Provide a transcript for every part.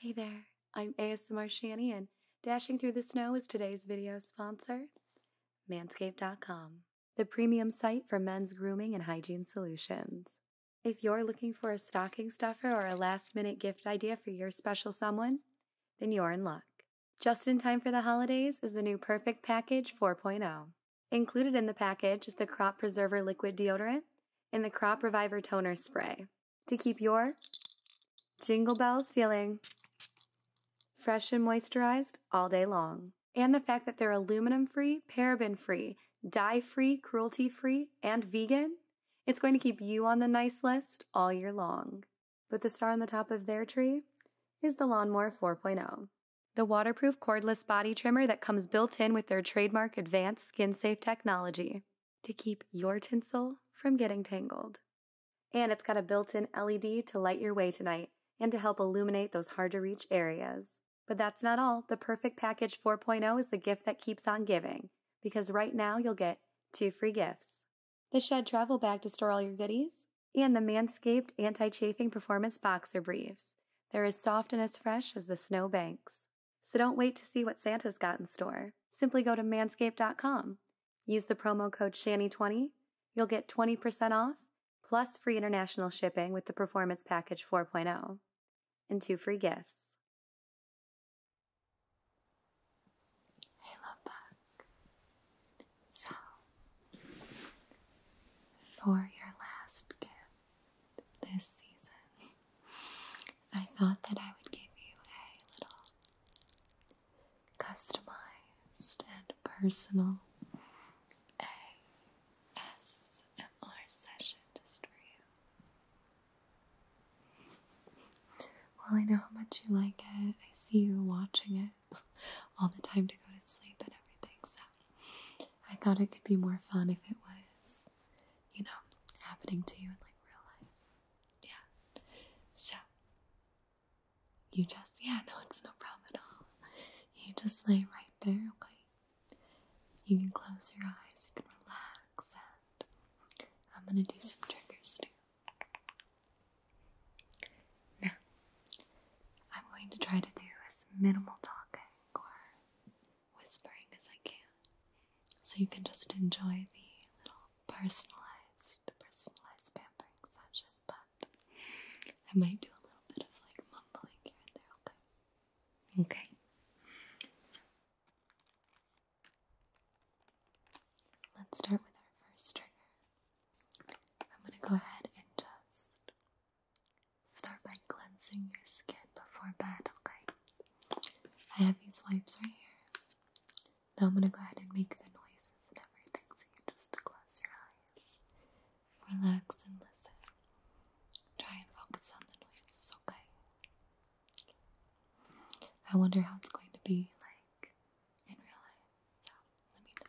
Hey there, I'm ASMR Shani and Dashing Through the Snow is today's video sponsor, Manscaped.com, the premium site for men's grooming and hygiene solutions. If you're looking for a stocking stuffer or a last minute gift idea for your special someone, then you're in luck. Just in time for the holidays is the new Perfect Package 4.0. Included in the package is the Crop Preserver Liquid Deodorant and the Crop Reviver Toner Spray to keep your jingle bells feeling fresh and moisturized all day long. And the fact that they're aluminum free, paraben free, dye free, cruelty free, and vegan it's going to keep you on the nice list all year long. But the star on the top of their tree is the Lawnmower 4.0. The waterproof cordless body trimmer that comes built in with their trademark advanced skin safe technology to keep your tinsel from getting tangled. And it's got a built in LED to light your way tonight and to help illuminate those hard to reach areas. But that's not all. The Perfect Package 4.0 is the gift that keeps on giving because right now you'll get two free gifts the Shed Travel Bag to store all your goodies, and the Manscaped Anti Chafing Performance Boxer Briefs. They're as soft and as fresh as the snow banks. So don't wait to see what Santa's got in store. Simply go to manscaped.com. Use the promo code SHANNY20. You'll get 20% off plus free international shipping with the Performance Package 4.0 and two free gifts. Hey, love So, for your last gift this season, I thought that I would give you a little customized and personal ASMR session just for you. Well, I know how much you like it. I see you watching it all the time to go to sleep and everything, so I thought it could be more fun if it was, you know, happening to you in like real life. Yeah. So, you just, yeah, no, it's no problem at all. You just lay right there, okay? You can close your eyes, you can relax, and I'm going to do some triggers too. Now, I'm going to try to do as minimal talking or whispering as I can, so you can just enjoy the little personalized, personalized pampering session, but I might do a little bit of like mumbling here and there, okay? Okay? Let's start with our first trigger. I'm going to go ahead and just start by cleansing your skin before bed, okay? I have these wipes right here. Now I'm going to go ahead and make the noises and everything so you just close your eyes, relax, and listen. Try and focus on the noises, okay? I wonder how it's going to be like in real life. So let me know.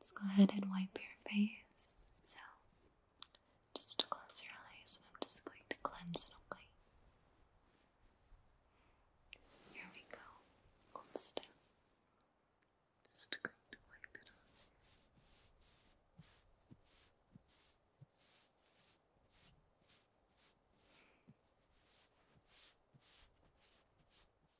Let's go ahead and wipe your face. So, just close your eyes and I'm just going to cleanse it, okay? Here we go. Hold still. Just going to wipe it off.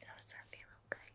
Does that feel okay?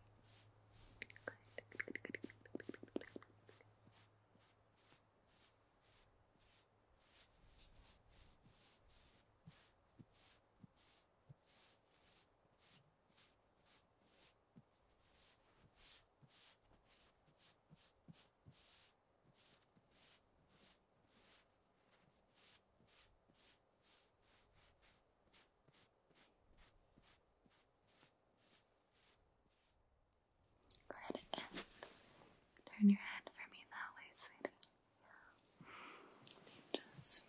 turn your head for me that way, sweetie. Just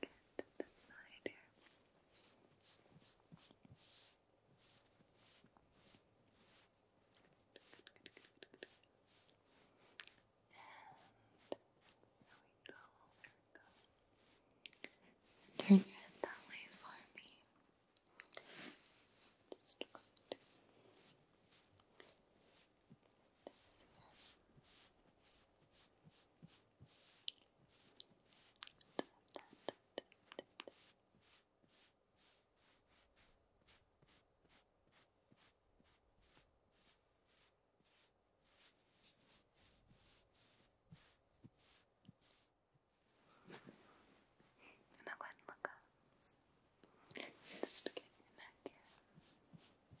get to the side here go, there we go. Turn your head that way for me. Just going to this here. Now go ahead and look up. Just get your neck here. Good.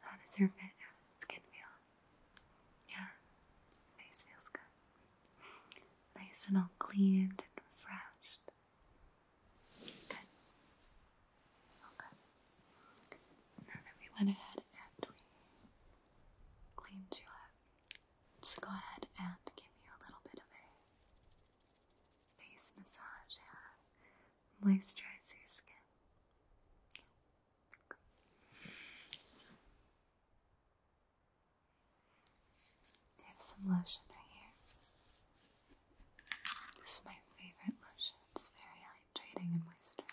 How does your skin feel? Yeah, face feels good. Nice and all cleaned and refreshed. Good. Okay. Now that we went ahead and we cleaned you up, let's go ahead and give you a little bit of a face massage moisturize your skin. I have some lotion right here. This is my favorite lotion. It's very hydrating and moisturizing.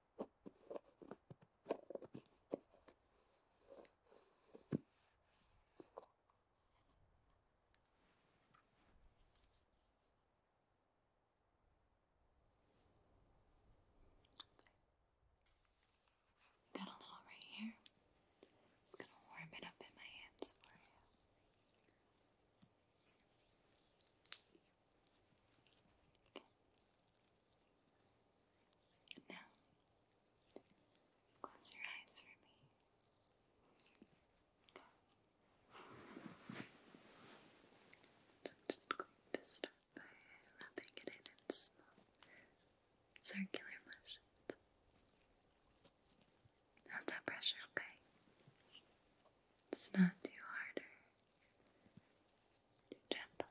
we got a little right here. I'm going to warm it up in my hands for you. Now, close your eyes for me. I'm just going to start by rubbing it in in small circular motions. How's that pressure? Okay. It's not too harder, gentle.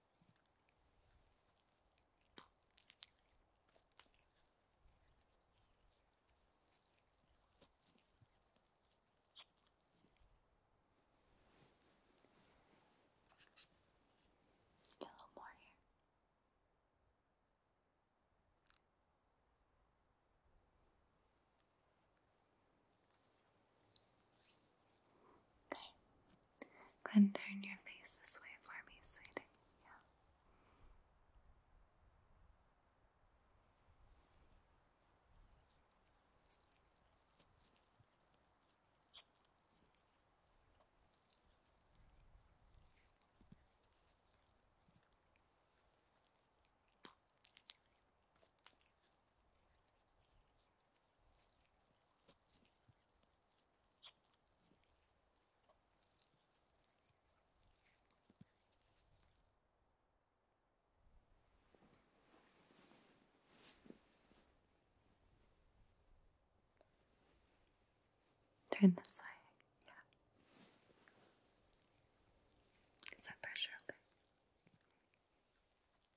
Get a little more here. Okay. turn your face this way for me, sweetie. Turn this way, yeah. Get some pressure,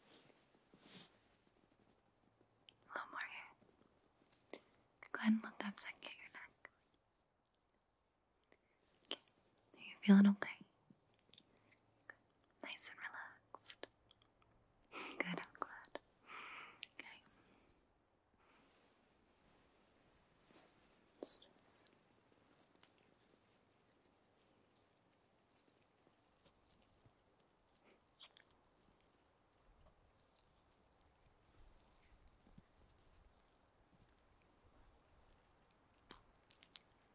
A little more here. Go ahead and look up so I can get your neck. Are you feeling okay? Nice and relaxed. Good, I'm glad. Okay.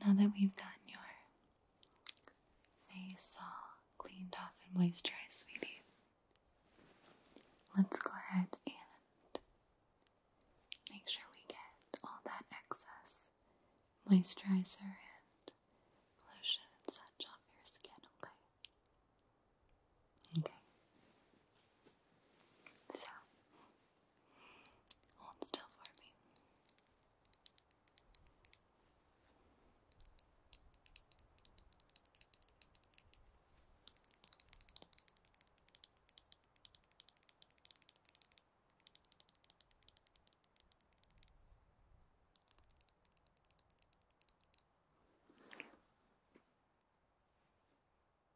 Now that we've done your face all cleaned off and moisturized, sweetie, let's go ahead and make sure we get all that excess moisturizer and lotion and such off your skin, okay? Okay. So, hold still for me.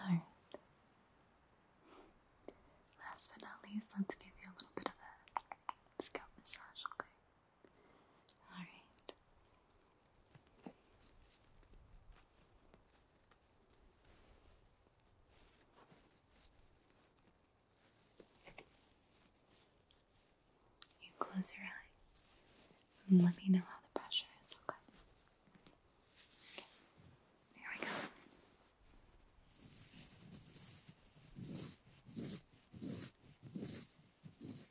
Alright. Last but not least, let's give you a little bit of a scalp massage, okay? All right. You close your eyes let me know how the pressure is. Okay. okay. we go.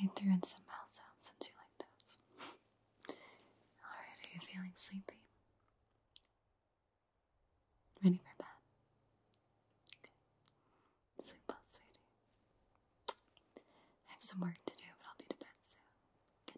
I threw in some mouth sounds since you like those. Alright, are you feeling sleepy? Ready for bed? Sleep well, sweetie. I have some work to do, but I'll be to bed soon.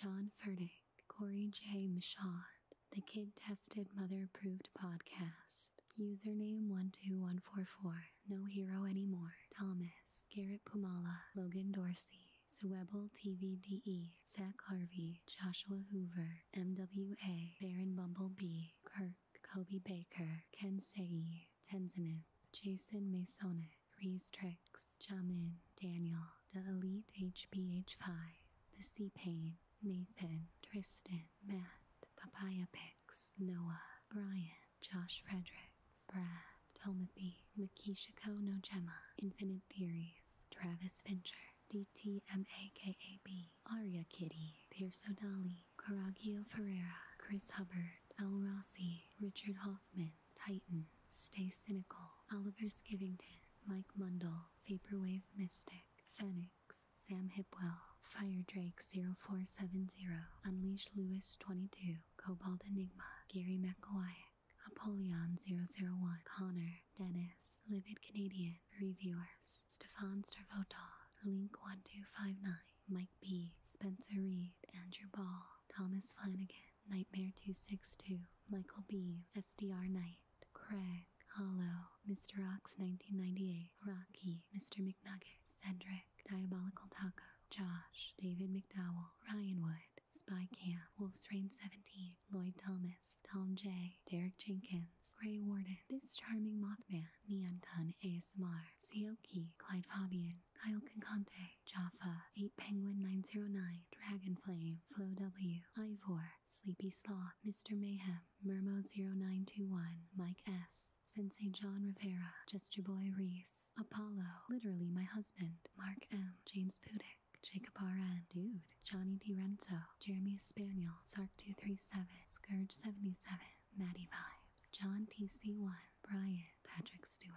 Good night. John Ferde Corey J. Michaud, the Kid Tested Mother Approved Podcast, username 12144, No Hero Anymore, Thomas, Garrett Pumala, Logan Dorsey, Zwebel TVDE, Zach Harvey, Joshua Hoover, MWA, Baron Bumblebee, Kirk, Kobe Baker, Ken Segi, Tenzinith, Jason Masonic, Reese Tricks, Chamin, Daniel, The Elite hph 5 The Sea Pain, Nathan, Tristan, Matt, Papaya Pix, Noah, Brian, Josh Frederick, Brad, Tomothy, Makishiko Gemma, Infinite Theories, Travis Fincher, DTMAKAB, Aria Kitty, Pierce O'Dali, Caragio Ferreira, Chris Hubbard, El Rossi, Richard Hoffman, Titan, Stay Cynical, Oliver Skivington, Mike Mundell, Vaporwave Mystic, Phoenix, Sam Hipwell, Fire Drake 0470, Unleash Lewis 22, Cobalt Enigma, Gary McElwayack, Apollyon 001, Connor, Dennis, Livid Canadian, Reviewers, Stefan Starvotov, Link1259, Mike B, Spencer Reed, Andrew Ball, Thomas Flanagan, Nightmare262, Michael B, SDR Knight, Craig, Smith, Mr. Ox 1998, Rocky, Mr. McNugget, Cedric, Diabolical Taco, Josh, David McDowell, Ryan Wood, Spy Camp, Wolf's Reign 17, Lloyd Thomas, Tom J, Derek Jenkins, Ray Warden, This Charming Mothman, Neon Kun ASMR, Seoki, Clyde Fabian, Kyle Concante, Jaffa, 8 Penguin 909, Dragonflame, Flo W, Ivor, Sleepy Slaw, Mr. Mayhem, Murmo0921, Mike S. Sensei John Rivera, Just Your Boy Reese, Apollo, Literally My Husband, Mark M. James Pudick, Jacob R.N., Dude, Johnny D DiRenzo, Jeremy Spaniel, Sark237, Scourge77, Maddie Vibes, John TC1, Brian, Patrick Stewart.